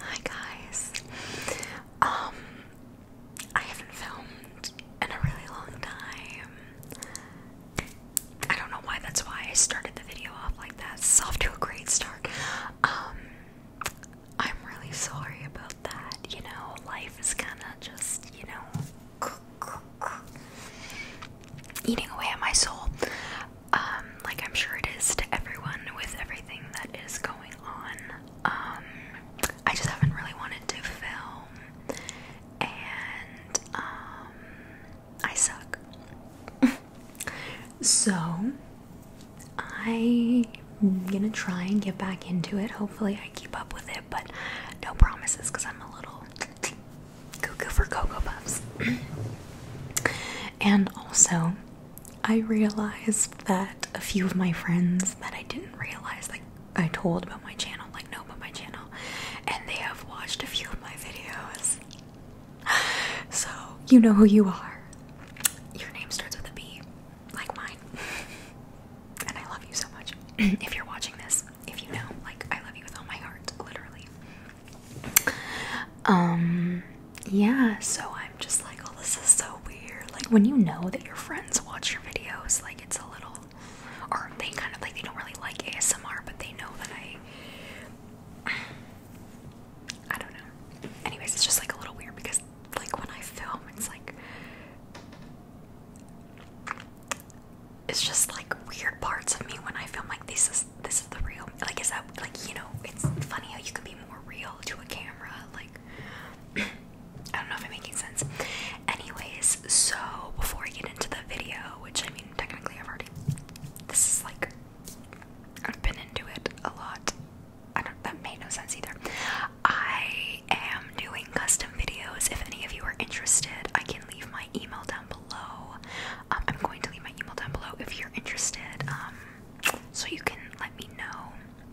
Hi guys. Um I haven't filmed in a really long time. I don't know why that's why I started the video off like that. It's off to a great start. Um I'm really sorry about that. You know, life is kind of just, you know, eating away at my soul. Um, like I'm sure it is to everyone with everything that is going on. Um, I just haven't really wanted to film, and um, I suck. so I'm gonna try and get back into it. Hopefully, I keep up with it, but no promises because I'm a little cuckoo for Cocoa Puffs. and also, I realized that a few of my friends that I didn't realize, like I told about my channel, like know about my channel, and they have watched a few of my videos. So, you know who you are. Your name starts with a B, like mine. and I love you so much. if you're watching this, if you know, like, I love you with all my heart, literally. Um, yeah, so I'm just like, oh, this is so weird. Like, when you know that your friends watch your videos, like, it's a little, or they kind of like, they don't really like ASMR, but they know that I, I don't know. Anyways, it's just like a little weird because, like, when I film, it's like, it's just like weird parts of me when I film, like, this is, this the real. Like, is that like you know? It's funny how you can be more real to a camera. Like, I don't know if I'm making sense. Anyways, so before I get into the video, which I mean, technically I've already. This is like I've been into it a lot. I don't. That made no sense either. I am doing custom videos. If any of you are interested, I can leave my email down below. Um, I'm going to leave my email down below if you're interested, um, so you can let me know.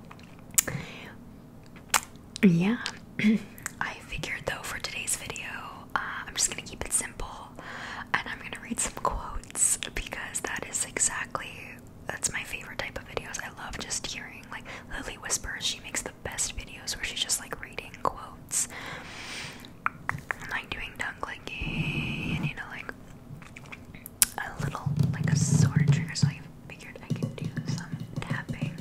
Yeah, I figured though for today's video, uh, I'm just gonna keep it simple, and I'm gonna read some quotes because that is exactly that's my favorite type of videos. I love just hearing like Lily whispers. She makes the best videos where she's just like reading quotes like doing tongue you know like a little like a sword trigger so I figured I could do some tapping.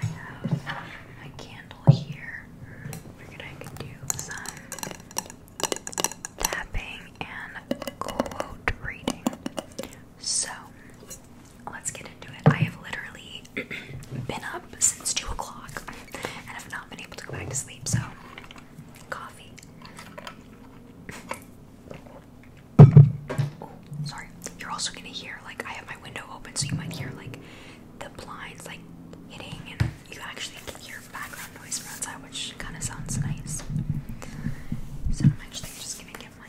I have my candle here. Figured I do some tapping and quote reading. So let's get I have literally been up since 2 o'clock and have not been able to go back to sleep, so coffee. Oh, sorry. You're also gonna hear, like, I have my window open, so you might hear, like, the blinds, like, hitting, and you actually can hear background noise from outside, which kind of sounds nice. So I'm actually just gonna get my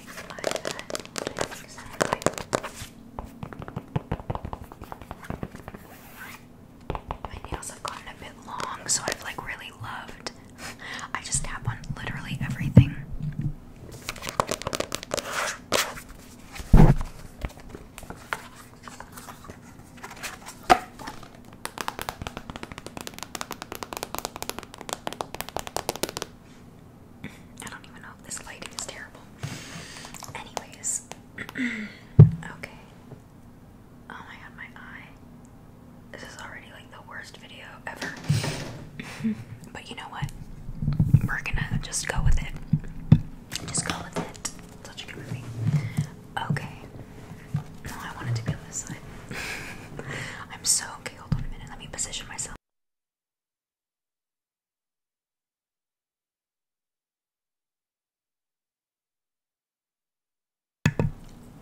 my nails have gotten a bit long, so I've like really loved. I just tap on literally everything. I don't even know if this lighting is terrible. Anyways, okay. Oh my god, my eye. This is already like the worst video ever. but you know what? We're gonna just go with it. Just go with it. Such a good movie. Okay. No, I wanted to be on this side. I'm so okay. Hold on a minute. Let me position myself.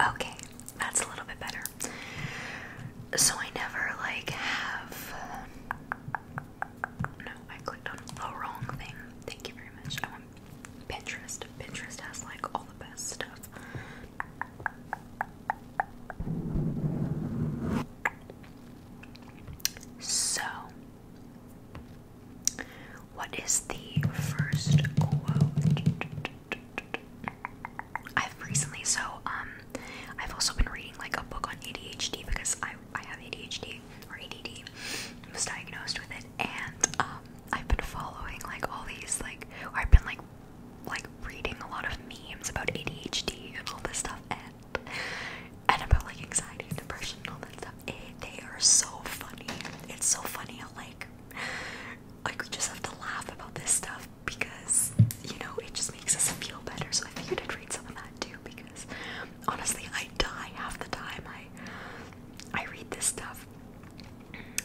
Okay, that's a little bit better. So I never like have. No, I clicked on the wrong thing. Thank you very much. I want Pinterest. Pinterest has like all the best stuff. So, what is the first quote? I've recently, so um, I've also been reading like a book on ADHD because I I have ADHD or ADD. I was diagnosed with it, and um, I've been following like all these like, I've been like, like reading a lot of memes about ADHD and all this stuff, and and about like anxiety depression all that stuff. Eh, they are so funny. It's so funny how like like we just have to laugh about this stuff because you know it just makes us feel better. So I figured I'd read some of that too because honestly I die half the time I I read this stuff.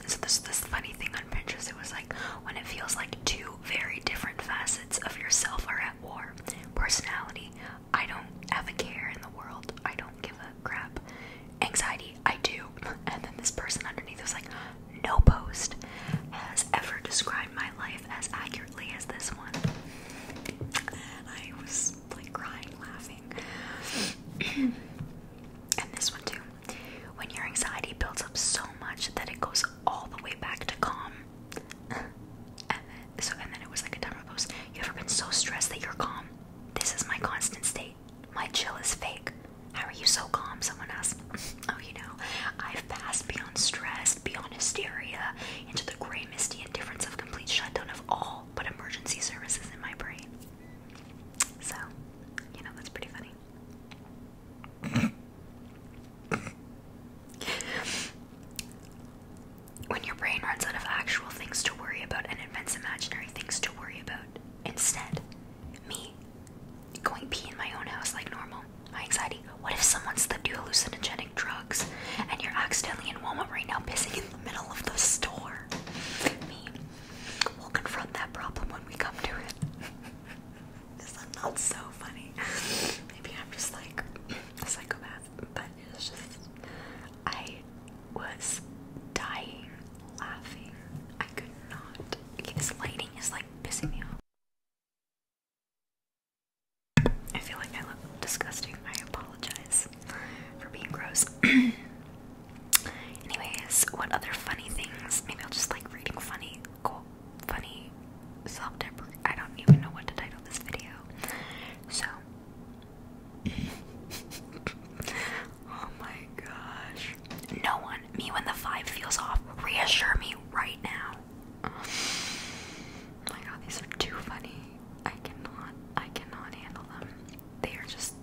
So there's this funny thing on Pinterest. It was like when it feels like two very different facets of yourself are war. Personality, I don't have a care in the world. I don't give a crap. Anxiety, I do. And then this person underneath was like, no post has ever described my life as accurately as this one. I was like crying, laughing. and this one too. When your anxiety builds up so much that it goes all the way back to calm, and uh, then, so and then it was like a timer post. You ever been so stressed that you're calm? This is my constant state. My chill is fake. How are you so calm? Someone asked. oh, you know, I've passed beyond stress, beyond hysteria, into the gray, misty indifference of complete shutdown of all but emergency services in my brain. So, you know, that's pretty funny. when your brain runs out of actual things to worry about and invents imaginary things to worry about. Instead, me going pee in my own house like normal. My anxiety. What if someone's the you hallucinogenic drugs and you're accidentally in Walmart right now pissing in the middle of the store? Me. will confront that problem when we come to it. Is that not so funny? Maybe I'm just like psychopath, but it just I was dying laughing. I could not. this lighting is like pissing me off. I feel like I look disgusting. I apologize for being gross. Anyways, what other funny things? Maybe I'll just like reading funny, cool, funny self deprecatory I don't even know what to title this video. So Oh my gosh. No one, me when the five feels off, reassure me right now. Oh my god, these are too funny. I cannot I cannot handle them. They are just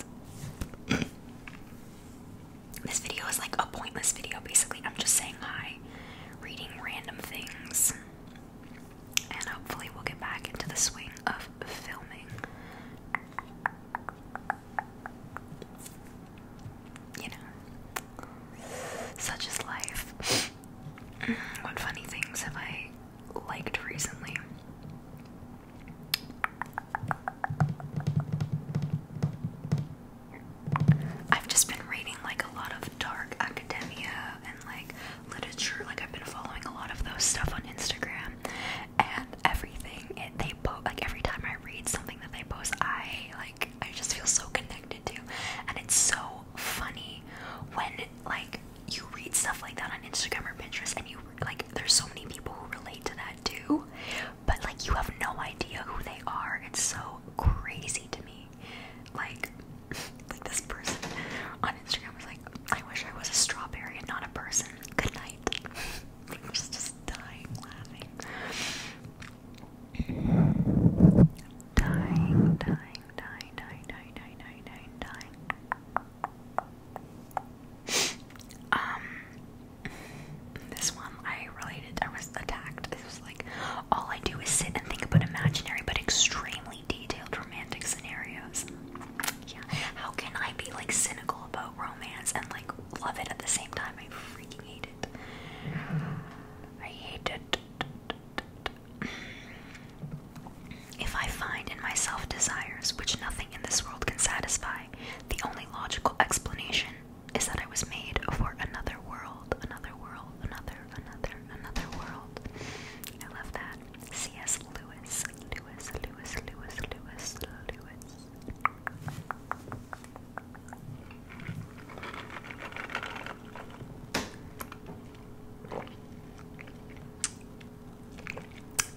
This video is like a pointless video basically. I'm just saying hi reading random things. And hopefully, we'll get back into the swing of filming. You know, such is life. what funny things have I liked recently? I've just been reading like a lot of dark academia and like literature. Like I've been following a lot of those stuff on Instagram and everything. And they post like every time I read something that they post, I like I just feel so connected to. And it's so funny when like you read stuff like that on Instagram or Pinterest, and you like there's so many people who relate to that too, but like you have no idea who they are. It's so crazy to me. Like, like this person on Instagram was like, I wish I was a strawberry and not a person. Good night. I was just dying laughing. Dying, dying, dying, dying, dying, dying, dying, Um, this one I related. I was attacked. It was all I do is sit and think about imaginary but extremely detailed romantic scenarios. Yeah, how can I be like cynical about romance and like love it at the same time? I freaking hate it. I hate it. If I find in myself desires which nothing in this world can satisfy, the only logical explanation is that I was made for another world, another world, another, another, another world. I love that. C.S. Lewis, Lewis, Lewis, Lewis, Lewis, Lewis.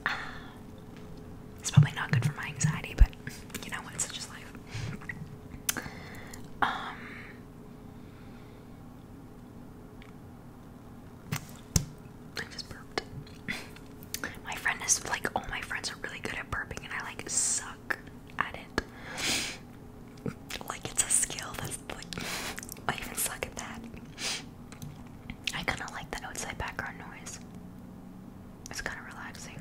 Ah. It's probably not good for my anxiety, but you know what? Such is life. Um, I just burped. my friend is like, all my friends are really good at burping, and I like suck at it. like it's a skill that's like, I even suck at that. I kind of like that outside background noise. It's kind of relaxing.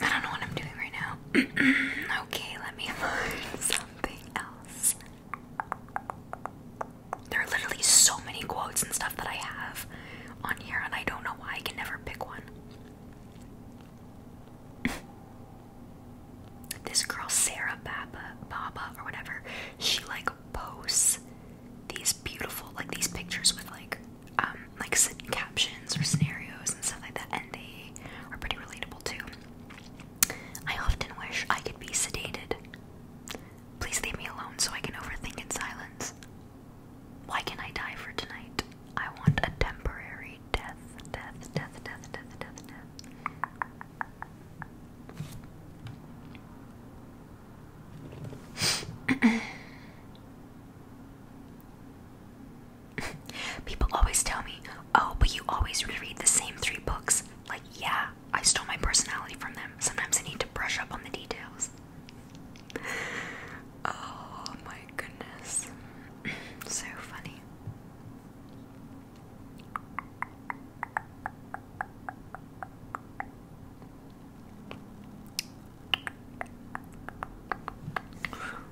I don't know what I'm doing right now. okay, let me find something else. There are literally so many quotes and stuff that I have on here, and I don't know why I can never pick one. this girl, Sarah Baba, Baba, or whatever, she like posts these beautiful, like these pictures with like um, like captions or scenarios and stuff like that, and they are pretty relatable too. I often wish I could be sedated. Please leave me alone so I can overthink in silence. Why can I die for tonight? I want a temporary death, death, death, death, death, death, death. People always tell me, oh, but you always reread the same three books. Like, yeah, I stole my personality from them. Sometimes I need to brush up on the details. Oh my goodness. so funny.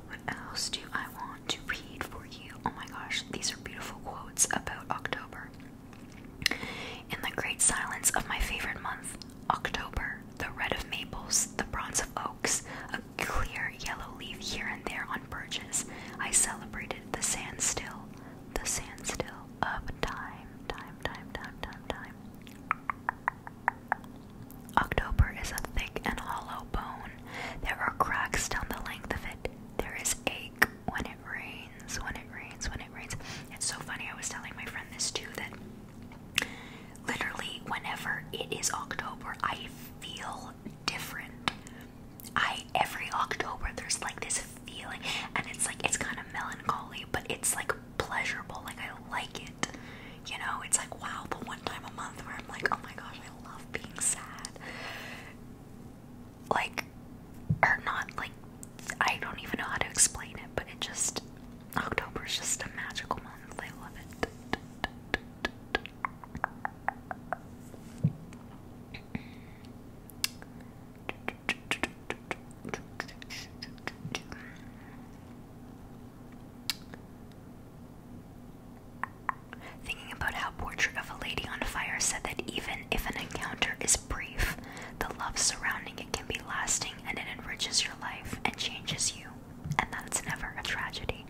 What else do I want to read for you? Oh my gosh, these are beautiful quotes about October. In the great silence of my favorite month, October, the red of maples, the bronze of oaks, a clear yellow leaf here and there on birches, I celebrated the sand still, the sand still of time, time, time, time, time, time. October is a thick and hollow bone. There are cracks down the length of it. There is ache when it rains, when it rains, when it rains. It's so funny. I was telling my friend this too that literally whenever it is October, I feel different. I every October there's like this feeling and it's like it's kind of melancholy, but it's like pleasurable. Like I like it. You know, it's like wow, the one time a month where I'm like, oh my gosh, I love being sad. Like, or not like, I don't even know how to explain it, but it just, October is just a magical month. I love it. Thinking about how Portrait of a Lady on Fire said that even if an encounter is brief, the love surrounding it can be lasting and it enriches your life and changes you. And that's never a tragedy.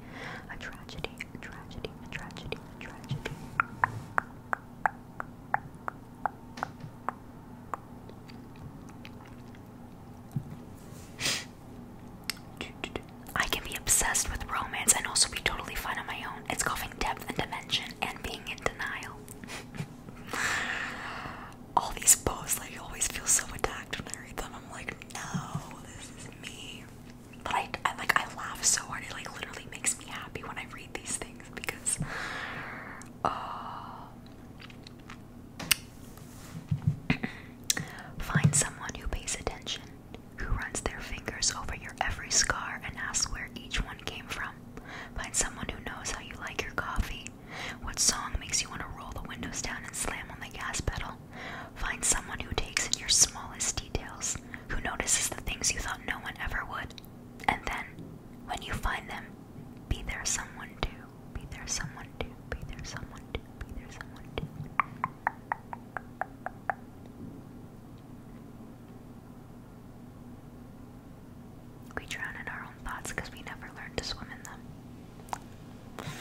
A tragedy, a tragedy, a tragedy, a tragedy. I can be obsessed with romance and also be totally fine on my own. It's coughing depth and dimension and being in denial. All these posts, like, you always feel so attacked when I read them. I'm like, no, this is me. But I, I like, I laugh so hard. It like literally makes me happy when I read these things because, uh, Find someone who pays attention, who runs their fingers over your every scar and asks where each one came from. Find someone who knows how you like your coffee, what song makes you want to roll the windows down and slam on the gas pedal. Find someone who takes in your smallest details, who notices the things you thought no one ever would. And then, when you find them, be there someone too. Be there someone do. Be there someone do. Be there someone do. We drown in our own thoughts we never learn to swim in them.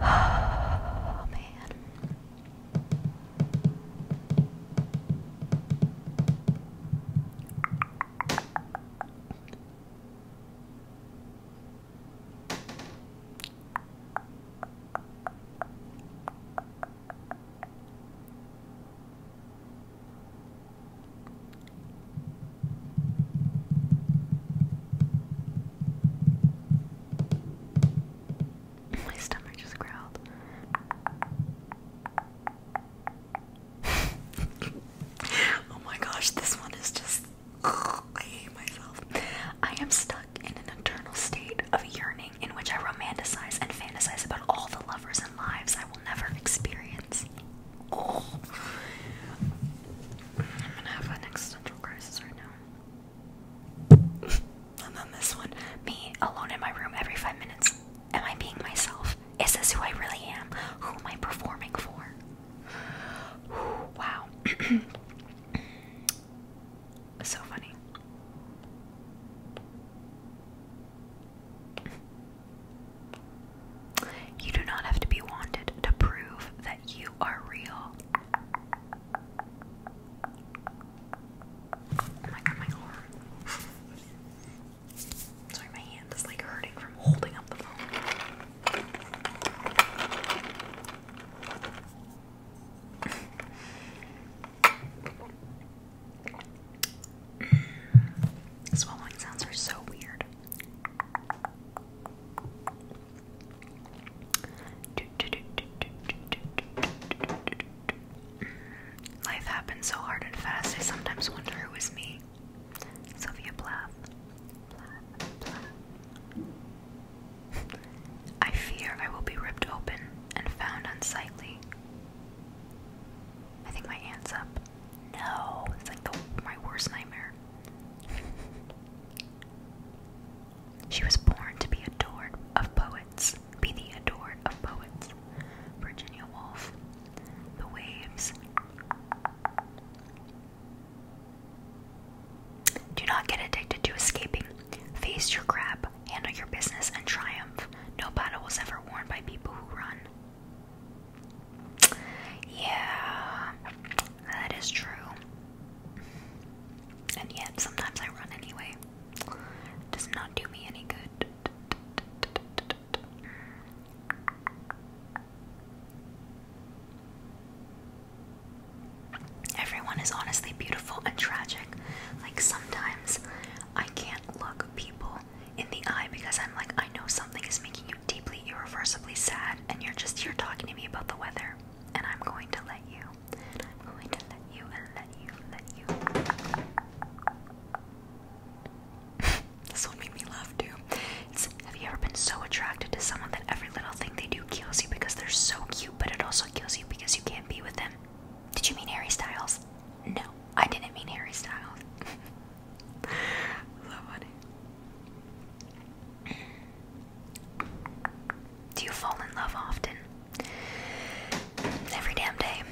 Oh man. My stomach just growled oh my gosh, this one is just. Oh, I hate myself. I am stuck in an eternal state of yearning in which I romanticize and fantasize about all the lovers and lives I will never experience. Oh. I'm gonna have an existential crisis right now. and then this one me alone in my room every five minutes. Am I being myself? Is this who I really am? Who am I performing for? wow. so funny. You do not have to be wanted to prove that you are real. Oh my my horror. Sorry, my hand is like hurting from holding up the phone. Swallowing sounds are so weird. Life happens so hard and fast, I sometimes wonder who is me. Sofia Plath. I fear I will be ripped open and found unsightly. I think my aunt's up. No, it's like the, my worst nightmare. she was born to be adored of poets, be the adored of poets. Virginia Woolf. The waves do not get addicted to escaping. Face your crap, handle your business, and triumph. No battle was ever won by people who run. Yeah, that is true. And yet, sometimes I run anyway. does not do me any good. Everyone is honestly beautiful and tragic. Like sometimes I can't look people in the eye because I'm like, I know something is making you deeply, irreversibly sad, and you're just here talking to me about the weather, and I'm going to let you. I'm going to let you and let you, let you. This will make me laugh too. have you ever been so attracted to someone that every little thing they do kills you because they're so cute, but it also kills you because you can't be with them? Did you mean Harry Styles? No, I didn't mean Harry Styles. so funny. Do you fall in love often? Every damn day.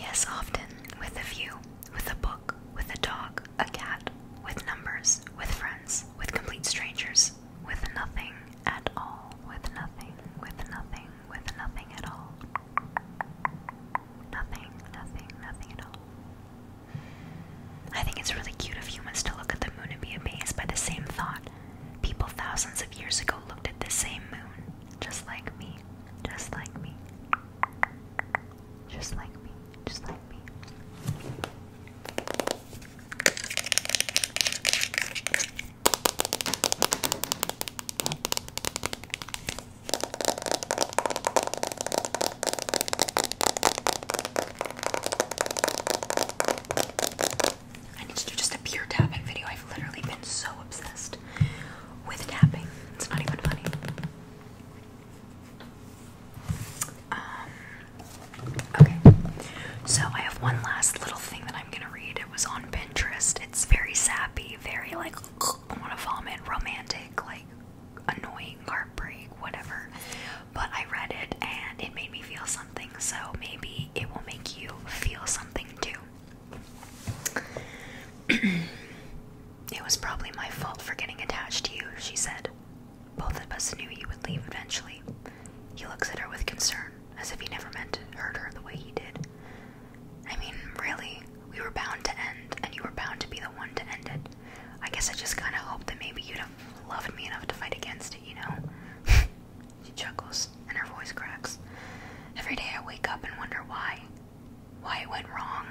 Yes, often. With a few. With a book, with a dog, a cat, with numbers, with friends, with complete strangers, with nothing at all, with nothing, with nothing, with nothing at all. Nothing, nothing, nothing at all. I think it's really cute of humans to look at the moon and be amazed by the same thought. People thousands of years ago looked at the same moon, just like me, just like me just like me, just like me. I need to do just a pure tapping video. I've literally been so obsessed with tapping. It's not even funny. Um, okay, so I have one last little thing that I'm gonna read. It was on Pinterest. It's very sappy, very like I want to vomit, romantic, like annoying, heartbreak, whatever. But I read it and it made me feel something. So maybe it will make you feel something too. It was probably my fault for getting attached to you, she said. Both of us knew you would leave eventually. He looks at her with concern, as if he never meant to hurt her the way he did. I mean, really, we were bound to end, and you were bound to be the one to end it. I guess I just kind of hoped that maybe you'd have loved me enough to fight against it, you know? she chuckles, and her voice cracks. Every day I wake up and wonder why why it went wrong,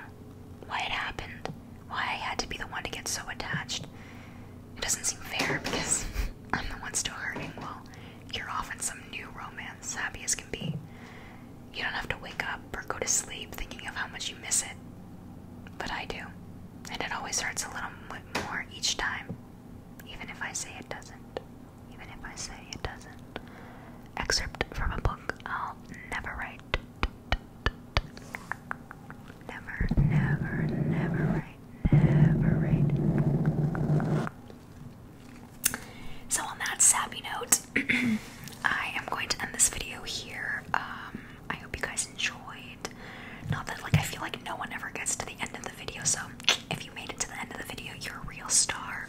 why it happened, why I had to be the one to get so attached. It doesn't seem fair because I'm the one still hurting Well, you're off in some new romance, happy as can be. You don't have to wake up or go to sleep thinking of how much you miss it. But I do, and it always hurts a little bit more each time, even if I say it doesn't. Even if I say it doesn't excerpt from a book I'll never write. Never, never, never write, never write. So, on that sappy note, I am going to end this video here. Um, I hope you guys enjoyed. Not that, like, I feel like no one ever gets to the end of the video, so if you made it to the end of the video, you're a real star.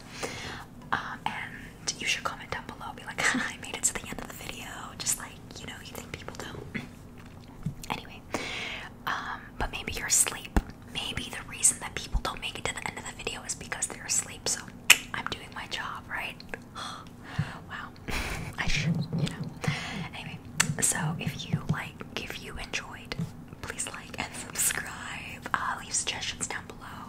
Um, and you should comment down below, be like, I made it to the end of the video. Just like, you know, you think people don't. anyway, um, but maybe you're asleep. Maybe the reason that people don't make it to the end of the video is because they're asleep. So I'm doing my job, right? wow. I should, you know. Anyway, so if you like, if you enjoyed, please like and subscribe. Uh, leave suggestions down below